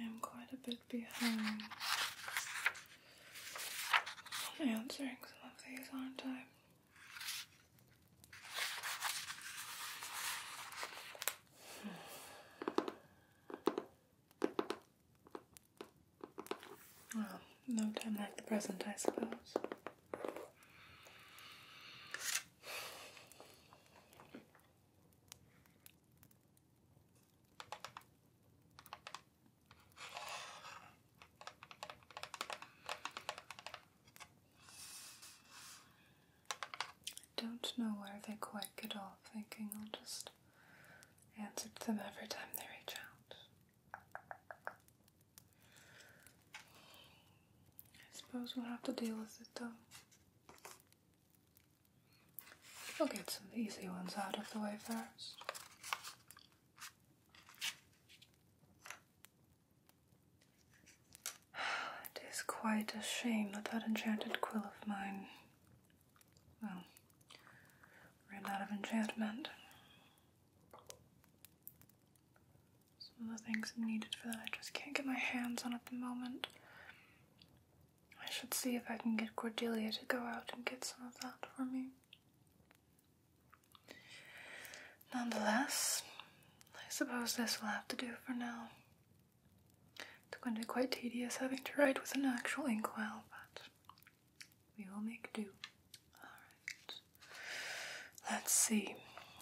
I'm quite a bit behind on answering some of these, aren't I? Well, no time like the present, I suppose. I Don't know where they quite get off thinking I'll just answer to them every time they reach out. I suppose we'll have to deal with it though. We'll get some easy ones out of the way first. It is quite a shame that that enchanted quill of mine, well, ran out of enchantment. Some of the things needed for that I just can't get my hands on at the moment. I should see if I can get Cordelia to go out and get some of that for me. Nonetheless, I suppose this will have to do for now. It's going to be quite tedious having to write with an actual inkwell, but we will make do. Alright. Let's see.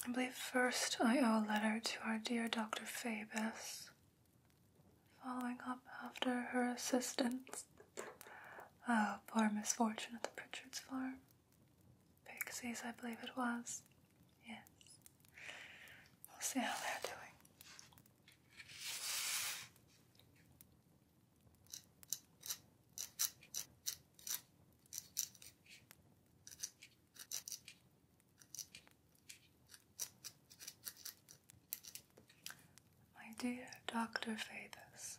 I believe first I owe a letter to our dear Dr. Fabus, following up after her assistance. Oh, poor misfortune at the Pritchard's farm. Pixies, I believe it was. Yes. We'll see how they're doing. My dear Dr. Fabus,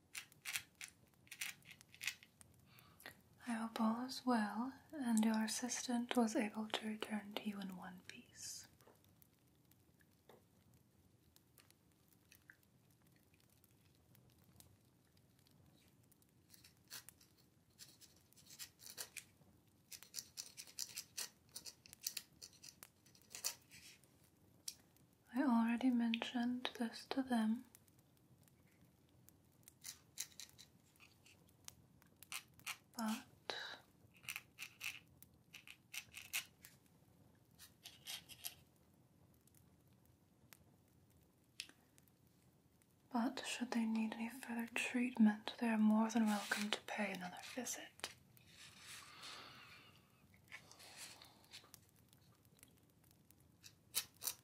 I hope all is well and your assistant was able to return to you in one piece. I already mentioned this to them. But but should they need any further treatment, they are more than welcome to pay another visit.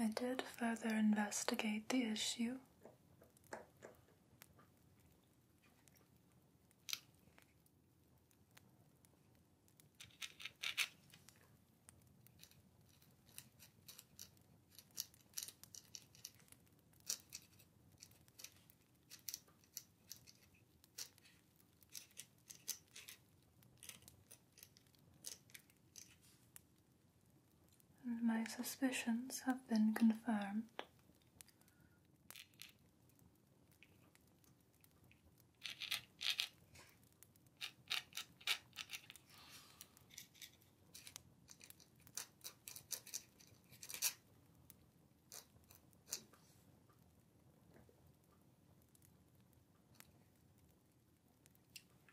I did further investigate the issue. And my suspicions have been confirmed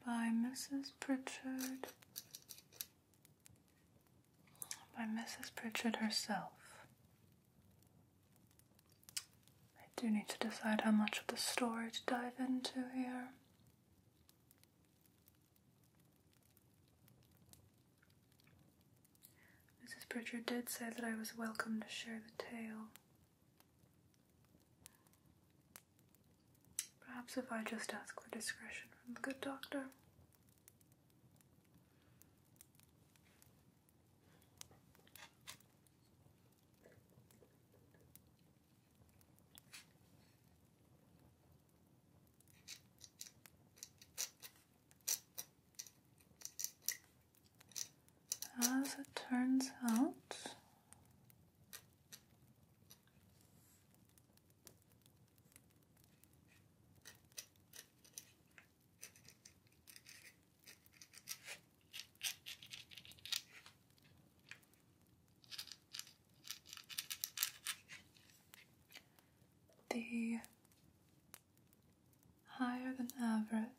by Mrs. Pritchard, by Mrs. Pritchard herself. I do need to decide how much of the story to dive into here. Mrs. Pritchard did say that I was welcome to share the tale. Perhaps if I just ask for discretion from the good doctor. As it turns out, the higher than average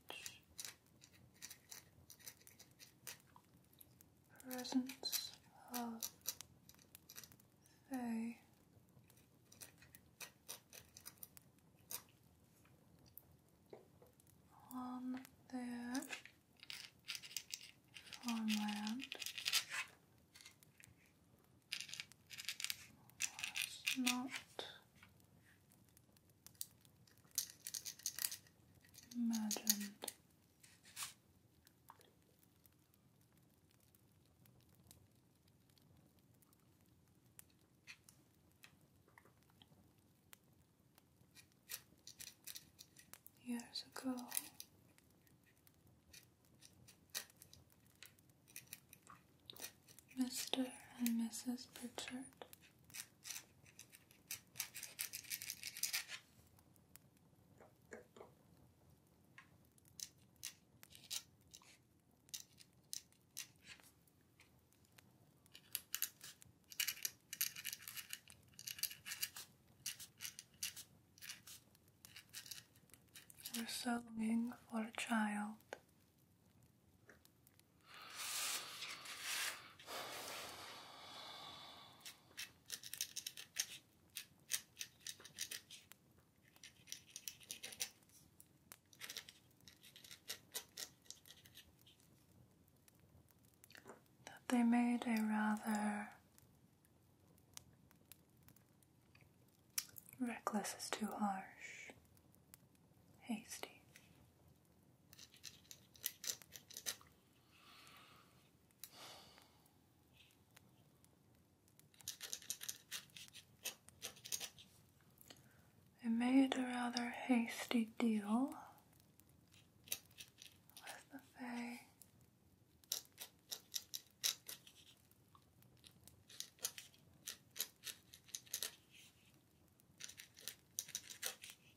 presence of they on their farmland was not imagined. Years ago, Mr. and Mrs. Pritchard we are sewing for a child. That they made a rather reckless is too harsh, hasty, I made a rather hasty deal with the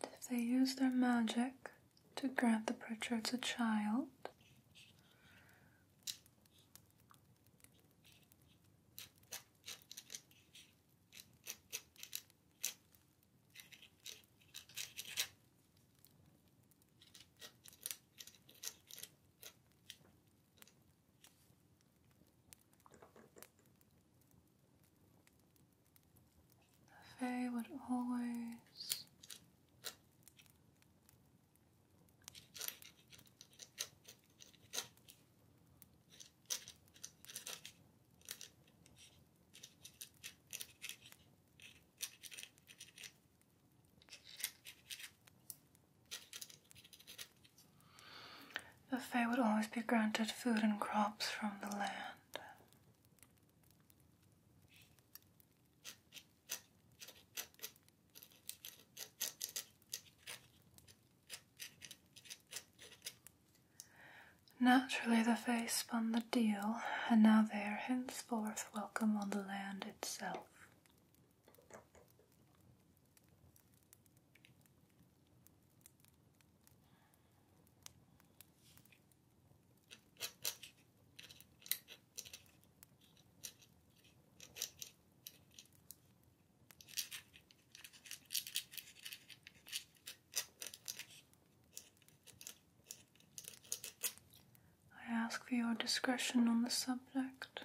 that if they use their magic to grant the Pritchards a child, the Fae would always the Fae would always be granted food and crops from the land. Naturally, the face spun the deal, and now they are henceforth welcome on the land itself. I ask for your discretion on the subject.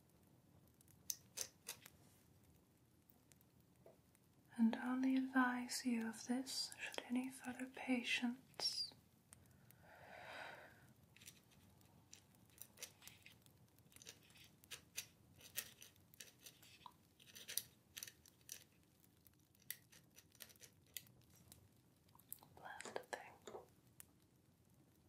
and only advise you of this should any further patience. blast thing.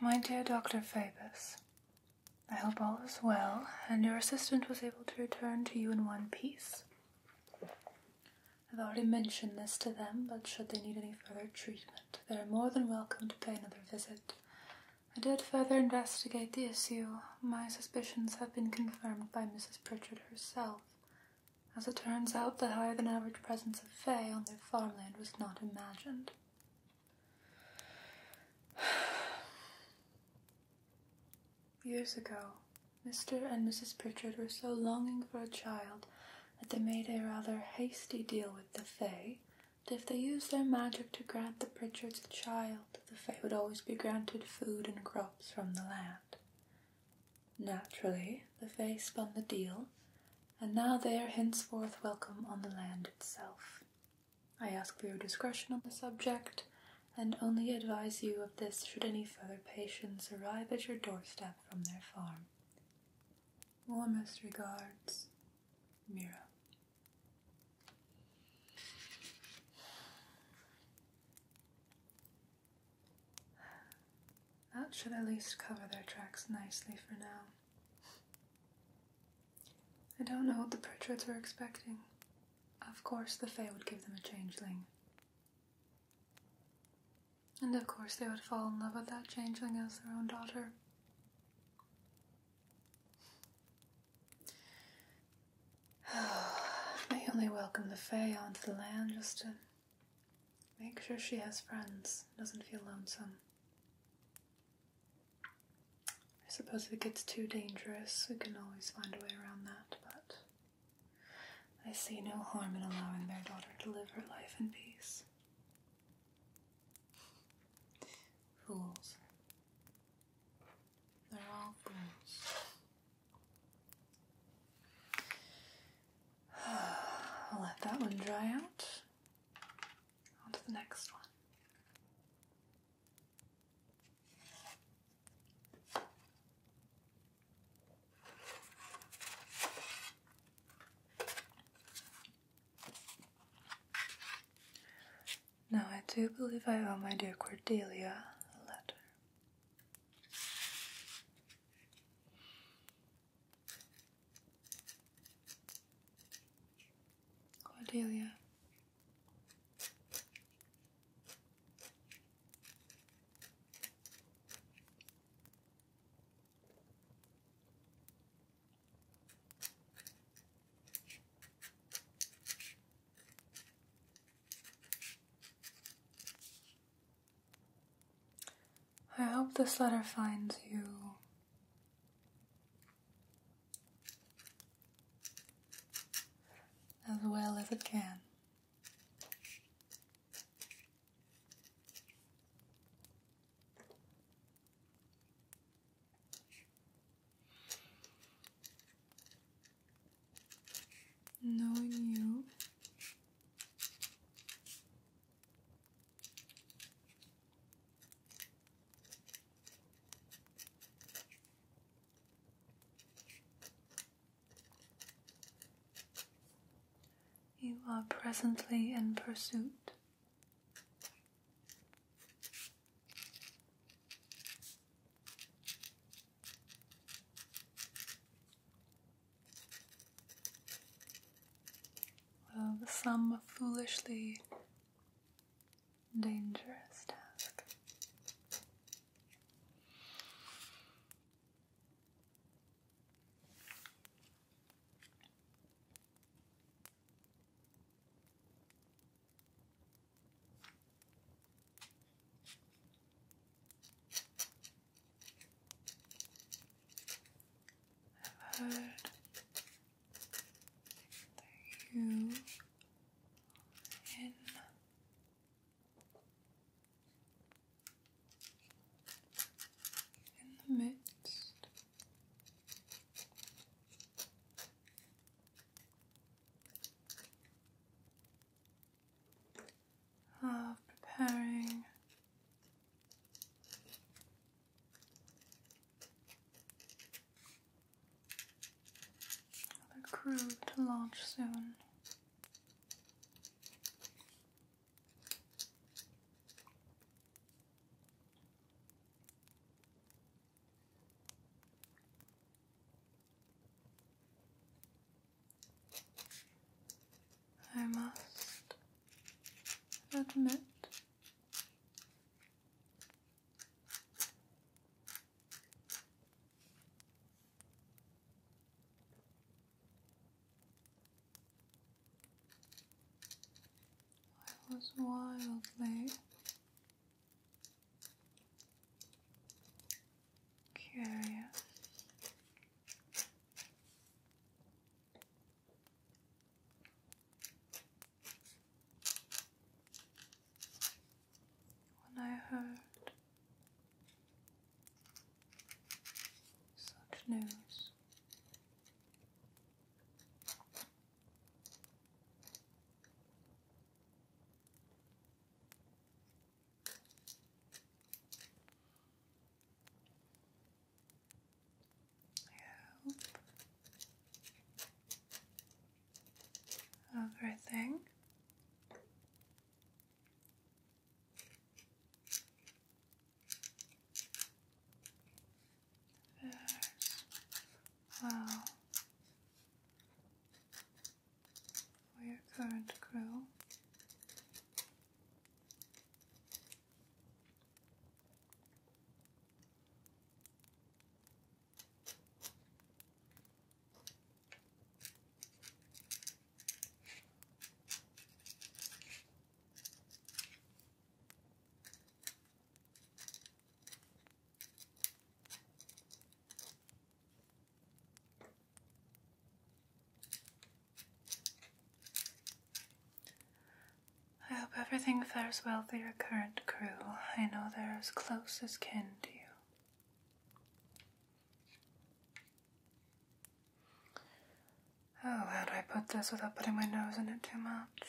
My dear Dr. Phoebus, I hope all is well and your assistant was able to return to you in one piece. I've already mentioned this to them, but should they need any further treatment, they are more than welcome to pay another visit. I did further investigate the issue. My suspicions have been confirmed by Mrs. Pritchard herself, as it turns out, the higher than average presence of Fae on their farmland was not imagined. Years ago, Mr. and Mrs. Pritchard were so longing for a child that they made a rather hasty deal with the Fae that if they used their magic to grant the Pritchards a child, the Fae would always be granted food and crops from the land. Naturally, the Fay spun the deal, and now they are henceforth welcome on the land itself. I ask for your discretion on the subject, and only advise you of this should any further patients arrive at your doorstep from their farm. Warmest regards, Mira. That should at least cover their tracks nicely for now. I don't know what the Pritchards were expecting. Of course, the Fae would give them a changeling. And of course, they would fall in love with that changeling as their own daughter. they only welcome the Fae onto the land just to Make sure she has friends, doesn't feel lonesome. I suppose if it gets too dangerous, we can always find a way around that, but I see no harm in allowing their daughter to live her life in peace. Fools. They're all fools. let that one dry out. On to the next one. Now, I do believe I owe my dear Cordelia a letter. Cordelia. I hope this letter finds you as well as it can. Knowing you you are presently in pursuit. Well, some foolishly dangerous task. I've heard you in in the midst preparing the crew to launch soon. I must admit I was wildly Curious. When I heard such news, everything there for your current crew. I hope everything fares well for your current crew. I know they're as close as kin to you. Oh, how do I put this without putting my nose in it too much?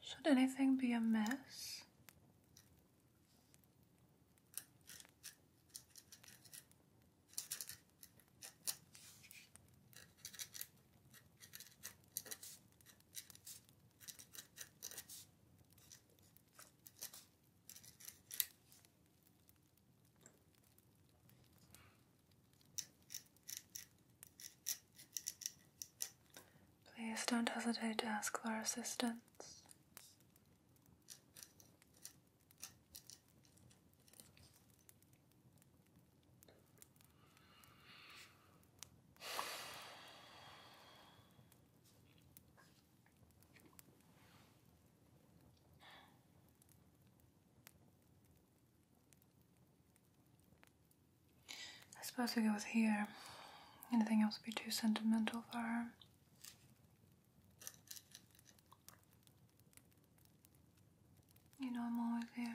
Should, anything be a mess? Please don't hesitate to ask for assistance. I suppose we go with here. Anything else would be too sentimental for her. You know I'm always here.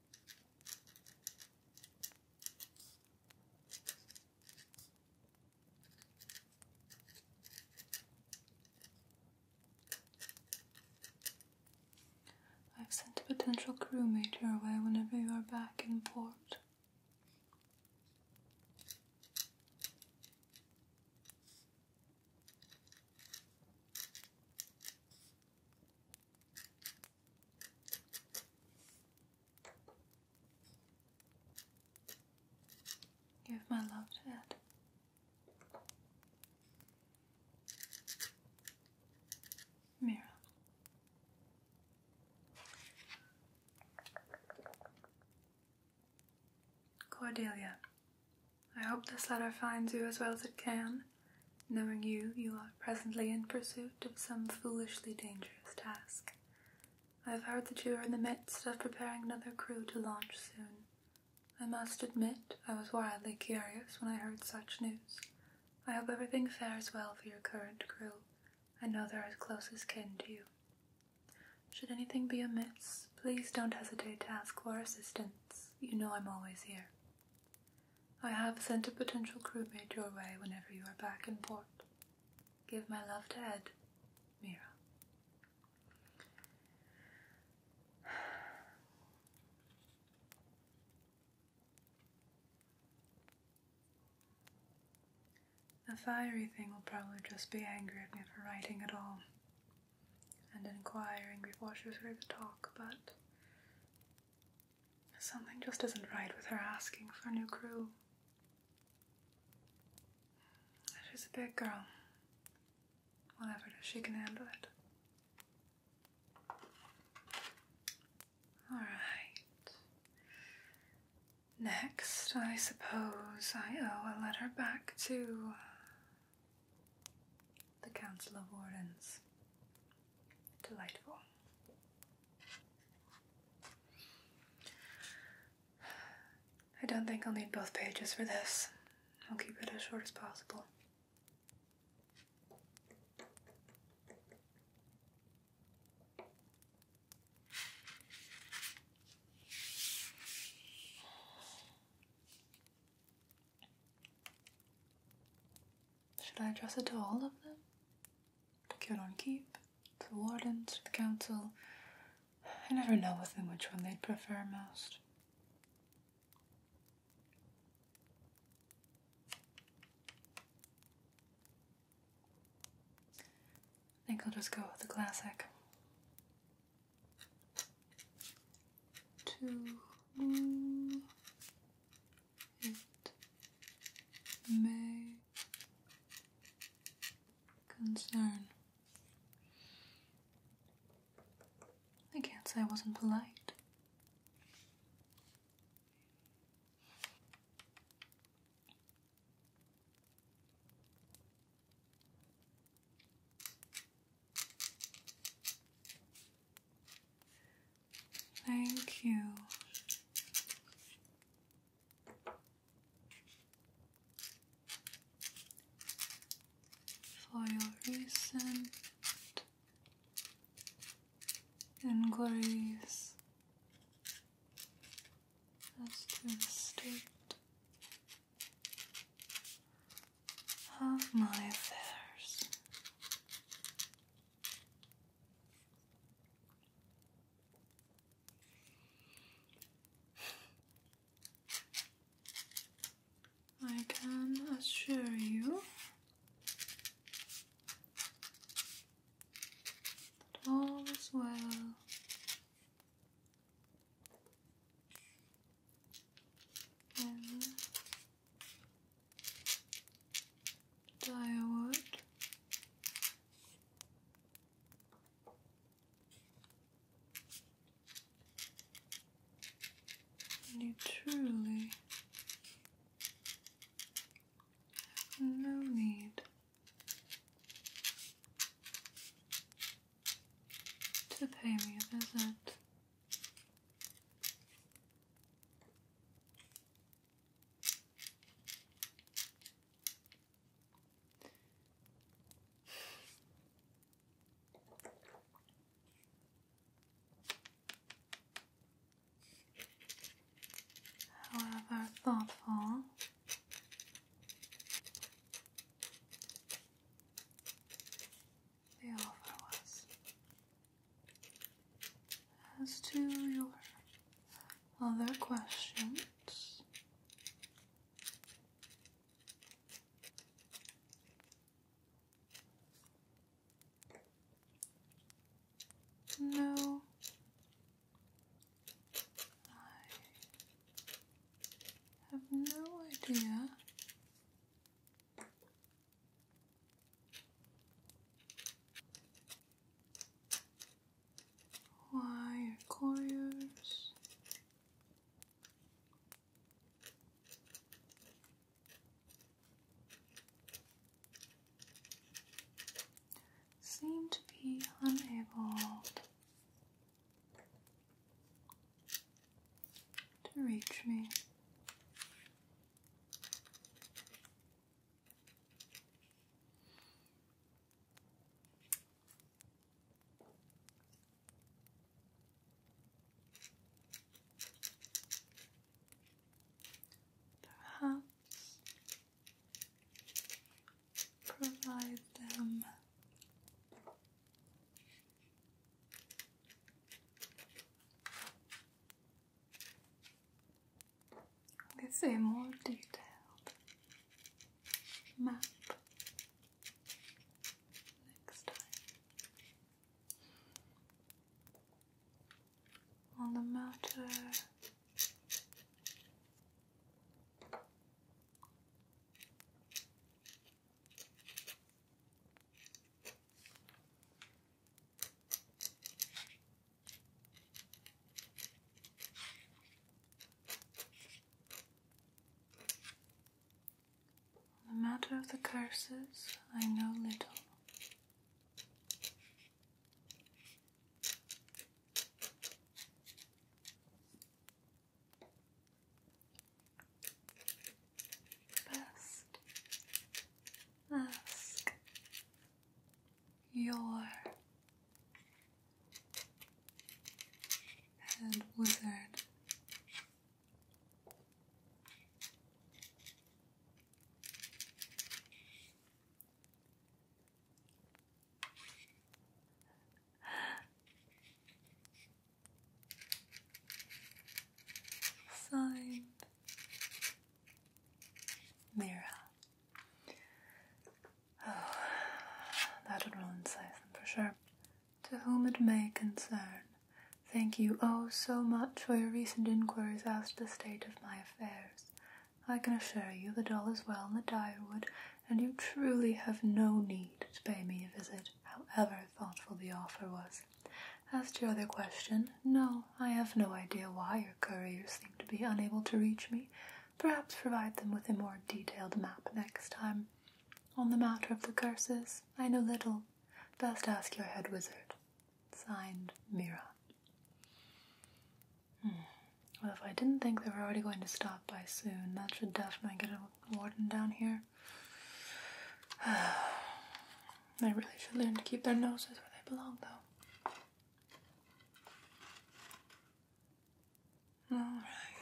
I've sent a potential crewmate your way whenever you are back in port. Give my love to it. Mira. Cordelia, I hope this letter finds you as well as it can. Knowing you, you are presently in pursuit of some foolishly dangerous task. I have heard that you are in the midst of preparing another crew to launch soon. I must admit I was wildly curious when I heard such news. I hope everything fares well for your current crew. I know they're as close as kin to you. Should anything be amiss, please don't hesitate to ask for assistance. You know I'm always here. I have sent a potential crewmate your way whenever you are back in port. Give my love to Ed, Mira. A fiery thing will probably just be angry at me for writing at all and inquiring before she was ready to talk, but Something just isn't right with her asking for a new crew. She's a big girl. Whatever she can handle it. Alright. Next, I suppose I owe a letter back to the Council of Ordens. Delightful. I don't think I'll need both pages for this. I'll keep it as short as possible. Should I address it to all of them? To Kieran Keep, to the wardens, to the council? I never know within which one they'd prefer most. I think I'll just go with the classic. To it may concern. I can't say I wasn't polite. Thank you. For your recent inquiries as to the state of my affairs. I can assure you that all is well. Diawood. And you truly have no need to pay me a visit. However, thoughtful. The offer was. As to your other questions, no, I have no idea why coils. Seem to be unable to reach me. Perhaps provide them Let's a more detailed map next time. On the matter the matter of the curses, I know little. Best ask your head wizard. Signed Mira. Oh, that would run them for sure. To whom it may concern, thank you, oh, so much for your recent inquiries as to the state of my affairs. I can assure you that all is well in the Direwood, and you truly have no need to pay me a visit, however thoughtful the offer was. As to your other question, no, I have no idea why your couriers seem to be unable to reach me. Perhaps provide them with a more detailed map next time. On the matter of the curses, I know little. Best ask your head wizard. Signed, Mira. Hmm. Well, if I didn't think they were already going to stop by soon, that should definitely get a warden down here. I really should learn to keep their noses where they belong, though. All right.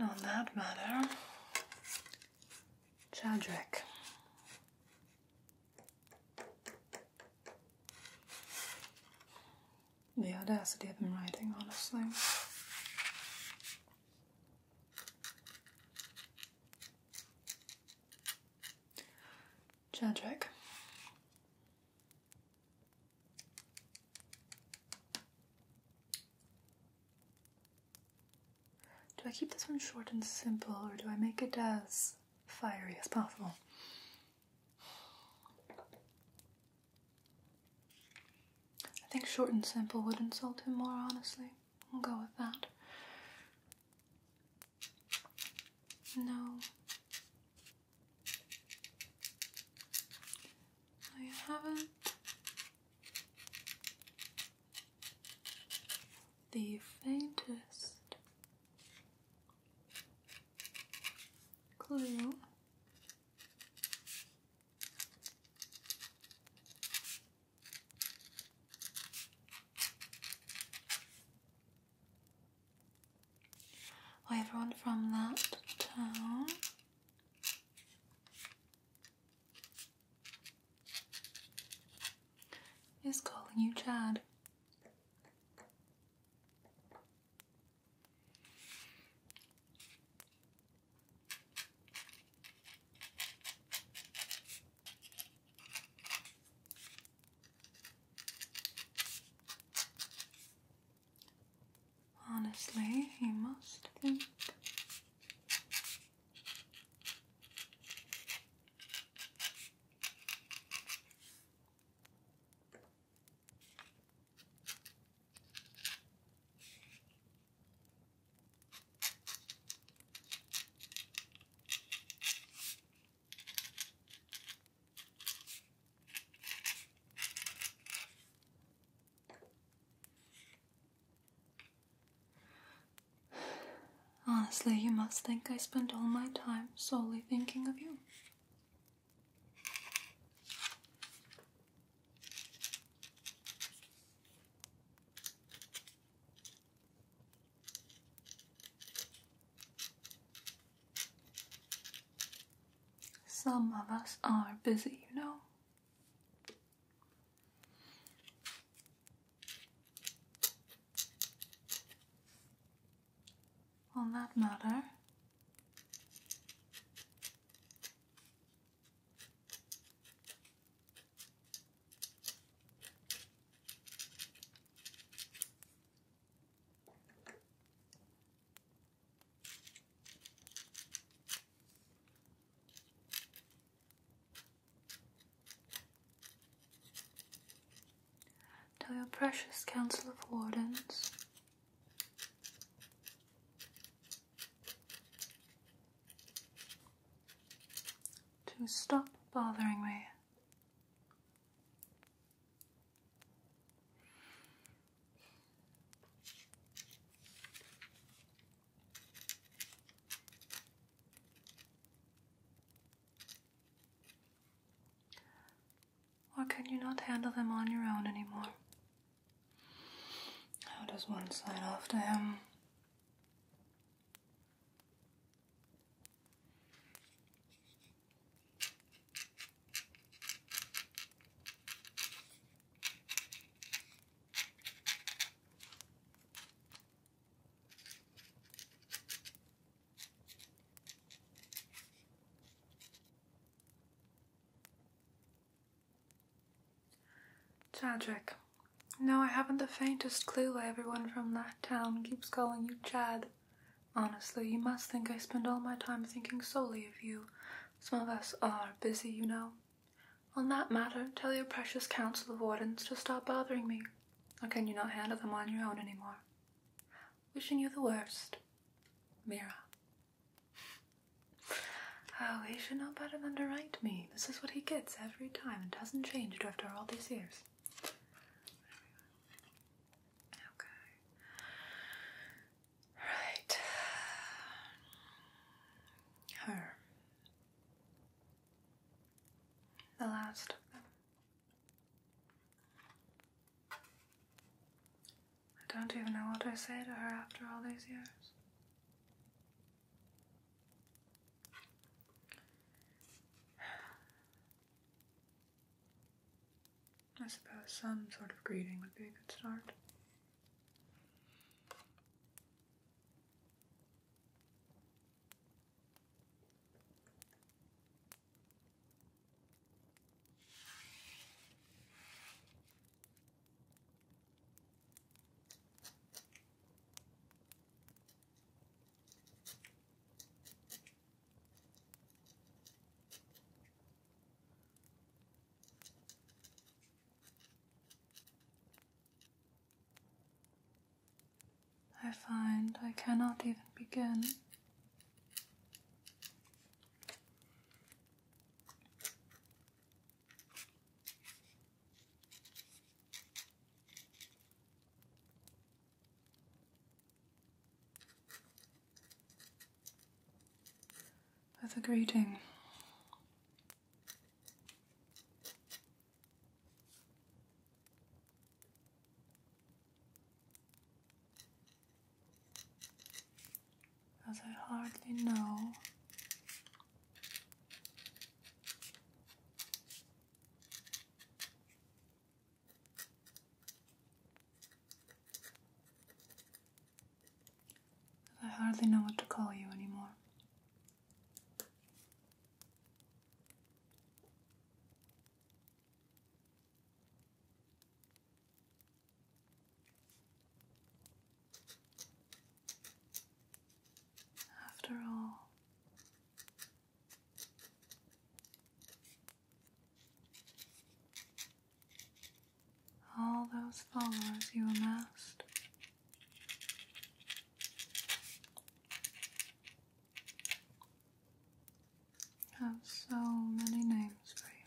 on that matter, Chadrick. The audacity of him writing, honestly. Chadrick. Do I keep this one short and simple, or do I make it as fiery as possible? I think short and simple would insult him more, honestly. We'll go with that. No. No, haven't. The faintest clue well, everyone from that town. Is calling you Chad. Honestly, you must think Honestly, you must think I spent all my time solely thinking of you. Some of us are busy, you know. On that matter, to your precious Council of Wardens, to stop bothering me. Or can you not handle them on your own anymore? How does one sign off to him? Tragic. No, I haven't the faintest clue why everyone from that town keeps calling you Chad. Honestly, you must think I spend all my time thinking solely of you. Some of us are busy, you know. On that matter, tell your precious council of wardens to stop bothering me. Or can you not handle them on your own anymore? Wishing you the worst, Mira. Oh, he should know better than to write me. This is what he gets every time and hasn't changed after all these years. Okay. Right. Her. The last I don't even know what I say to her after all these years. I suppose some sort of greeting would be a good start. I find I cannot even begin. With a greeting. As I hardly know I hardly know what to call you anymore. After all, all those followers you amassed. have so many names for you.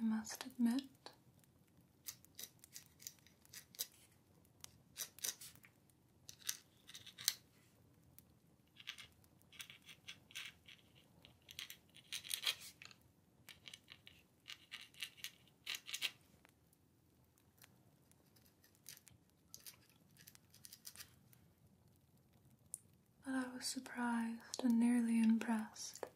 I must admit but I was surprised and nearly impressed.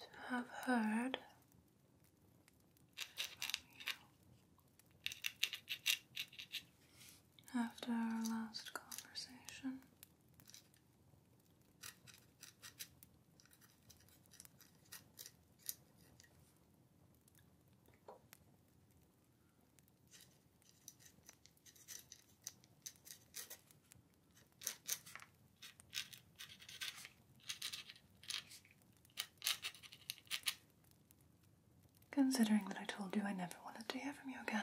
To have heard from you after our last conversation. Considering that I told you I never wanted to hear from you again,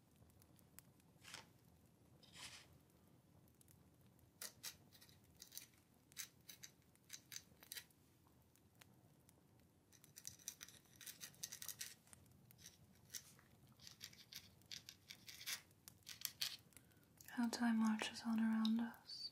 How time marches on around us.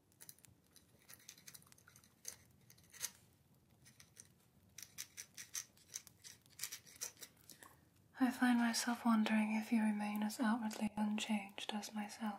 I find myself wondering if you remain as outwardly unchanged as myself.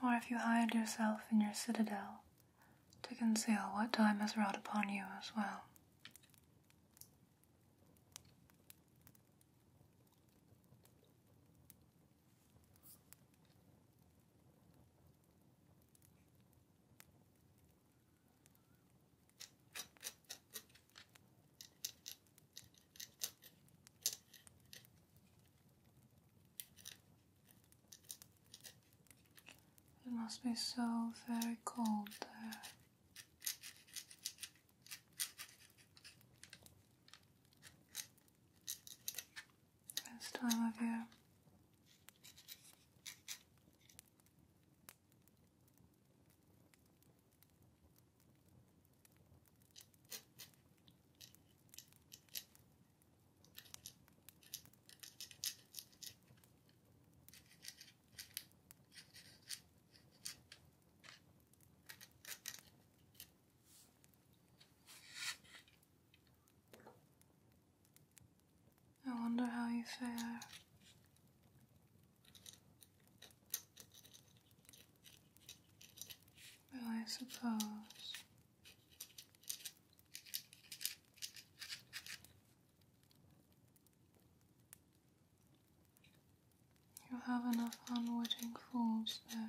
Or if you hide yourself in your citadel to conceal what time has wrought upon you as well. It must be so very cold there. This time of year. I wonder how you fare. Well, I suppose you have enough unwitting fools there.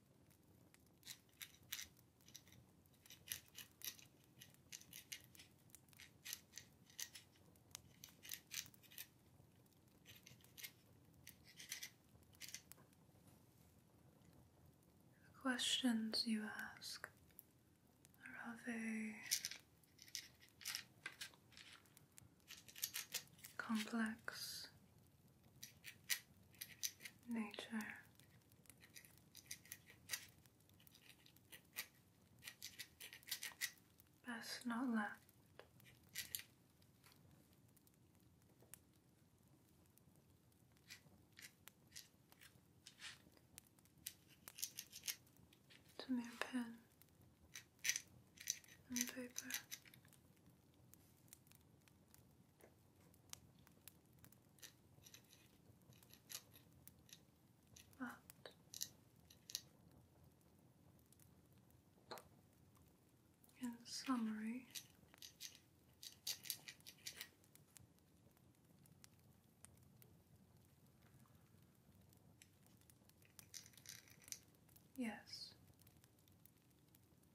The questions you ask are of a complex nature. Best not left. To mere pen and paper in summary, yes,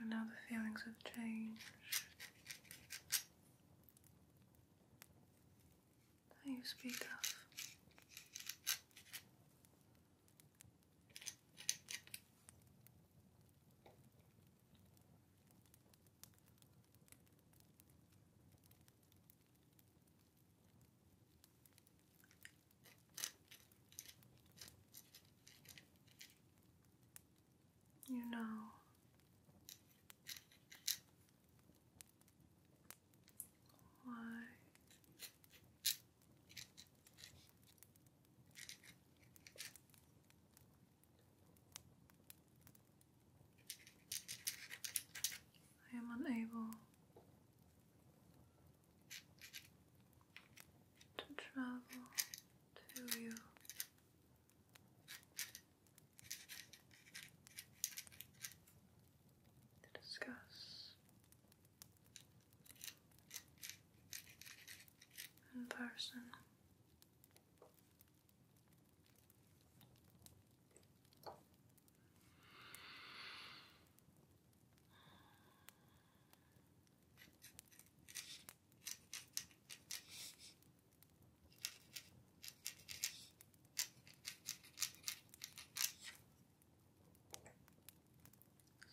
And now the feelings have changed. That you speak of you know, why I am unable to travel to you to discuss in person.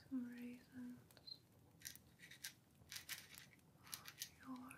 Some reasons Oh, your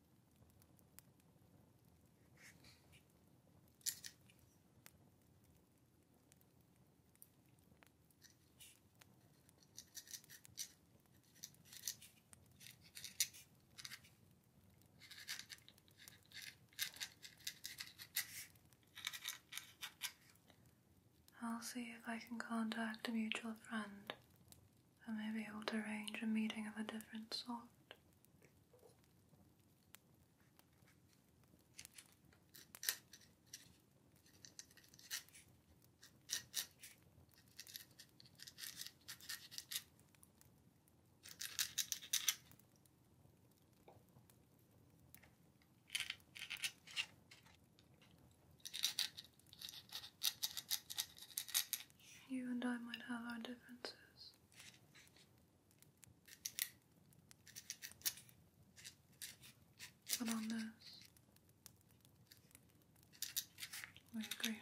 I'll see if I can contact a mutual friend I may be able to arrange a meeting of a different sort. You and I might have our differences. But on this, we agree.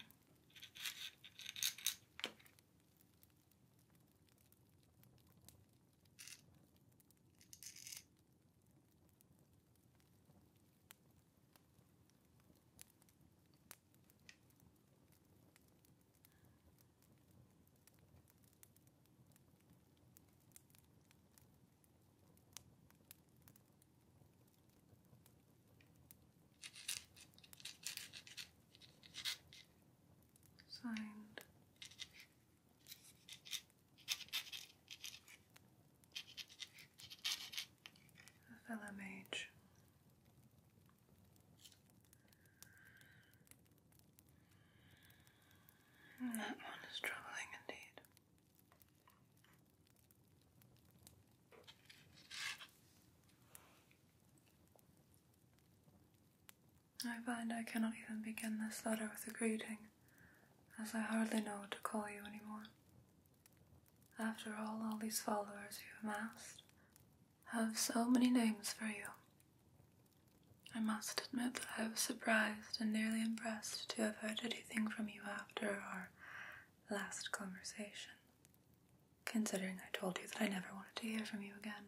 Signed fellow mage that one is troubling indeed. I find I cannot even begin this letter with a greeting, as I hardly know what to call you anymore. After all, all these followers you've amassed have so many names for you. I must admit that I was surprised and nearly impressed to have heard anything from you after our last conversation, considering I told you that I never wanted to hear from you again.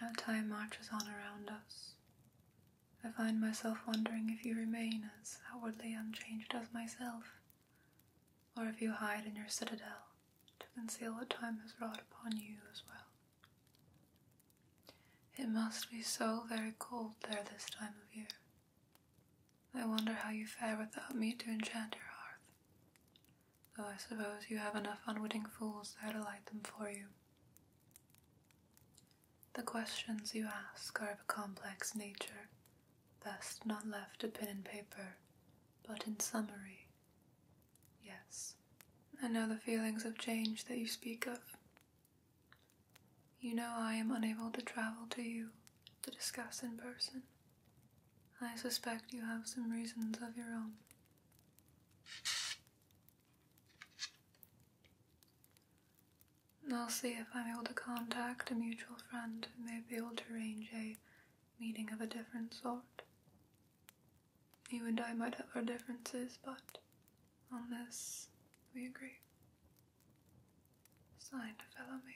How time marches on around us. I find myself wondering if you remain as outwardly unchanged as myself or if you hide in your citadel to conceal what time has wrought upon you as well. It must be so very cold there this time of year. I wonder how you fare without me to enchant your hearth, though I suppose you have enough unwitting fools there to light them for you. The questions you ask are of a complex nature, best not left to pen and paper, but in summary. Yes, I know the feelings of change that you speak of. You know I am unable to travel to you to discuss in person. I suspect you have some reasons of your own. I'll see if I'm able to contact a mutual friend who may be able to arrange a meeting of a different sort. You and I might have our differences, but on this we agree. Signed, a fellow mage.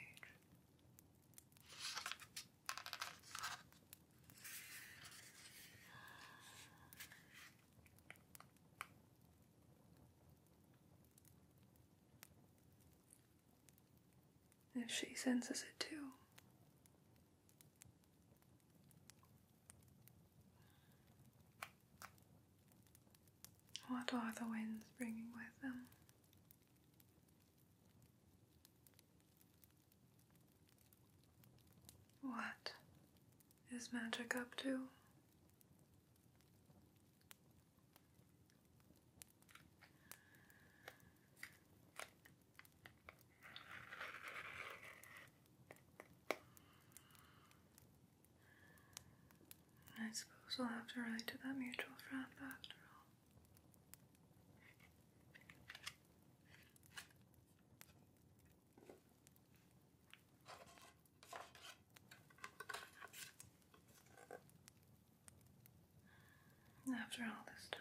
And she senses it too. What are the winds bringing with them? What is magic up to? I suppose we'll have to ride to that mutual friend after all. After all this time.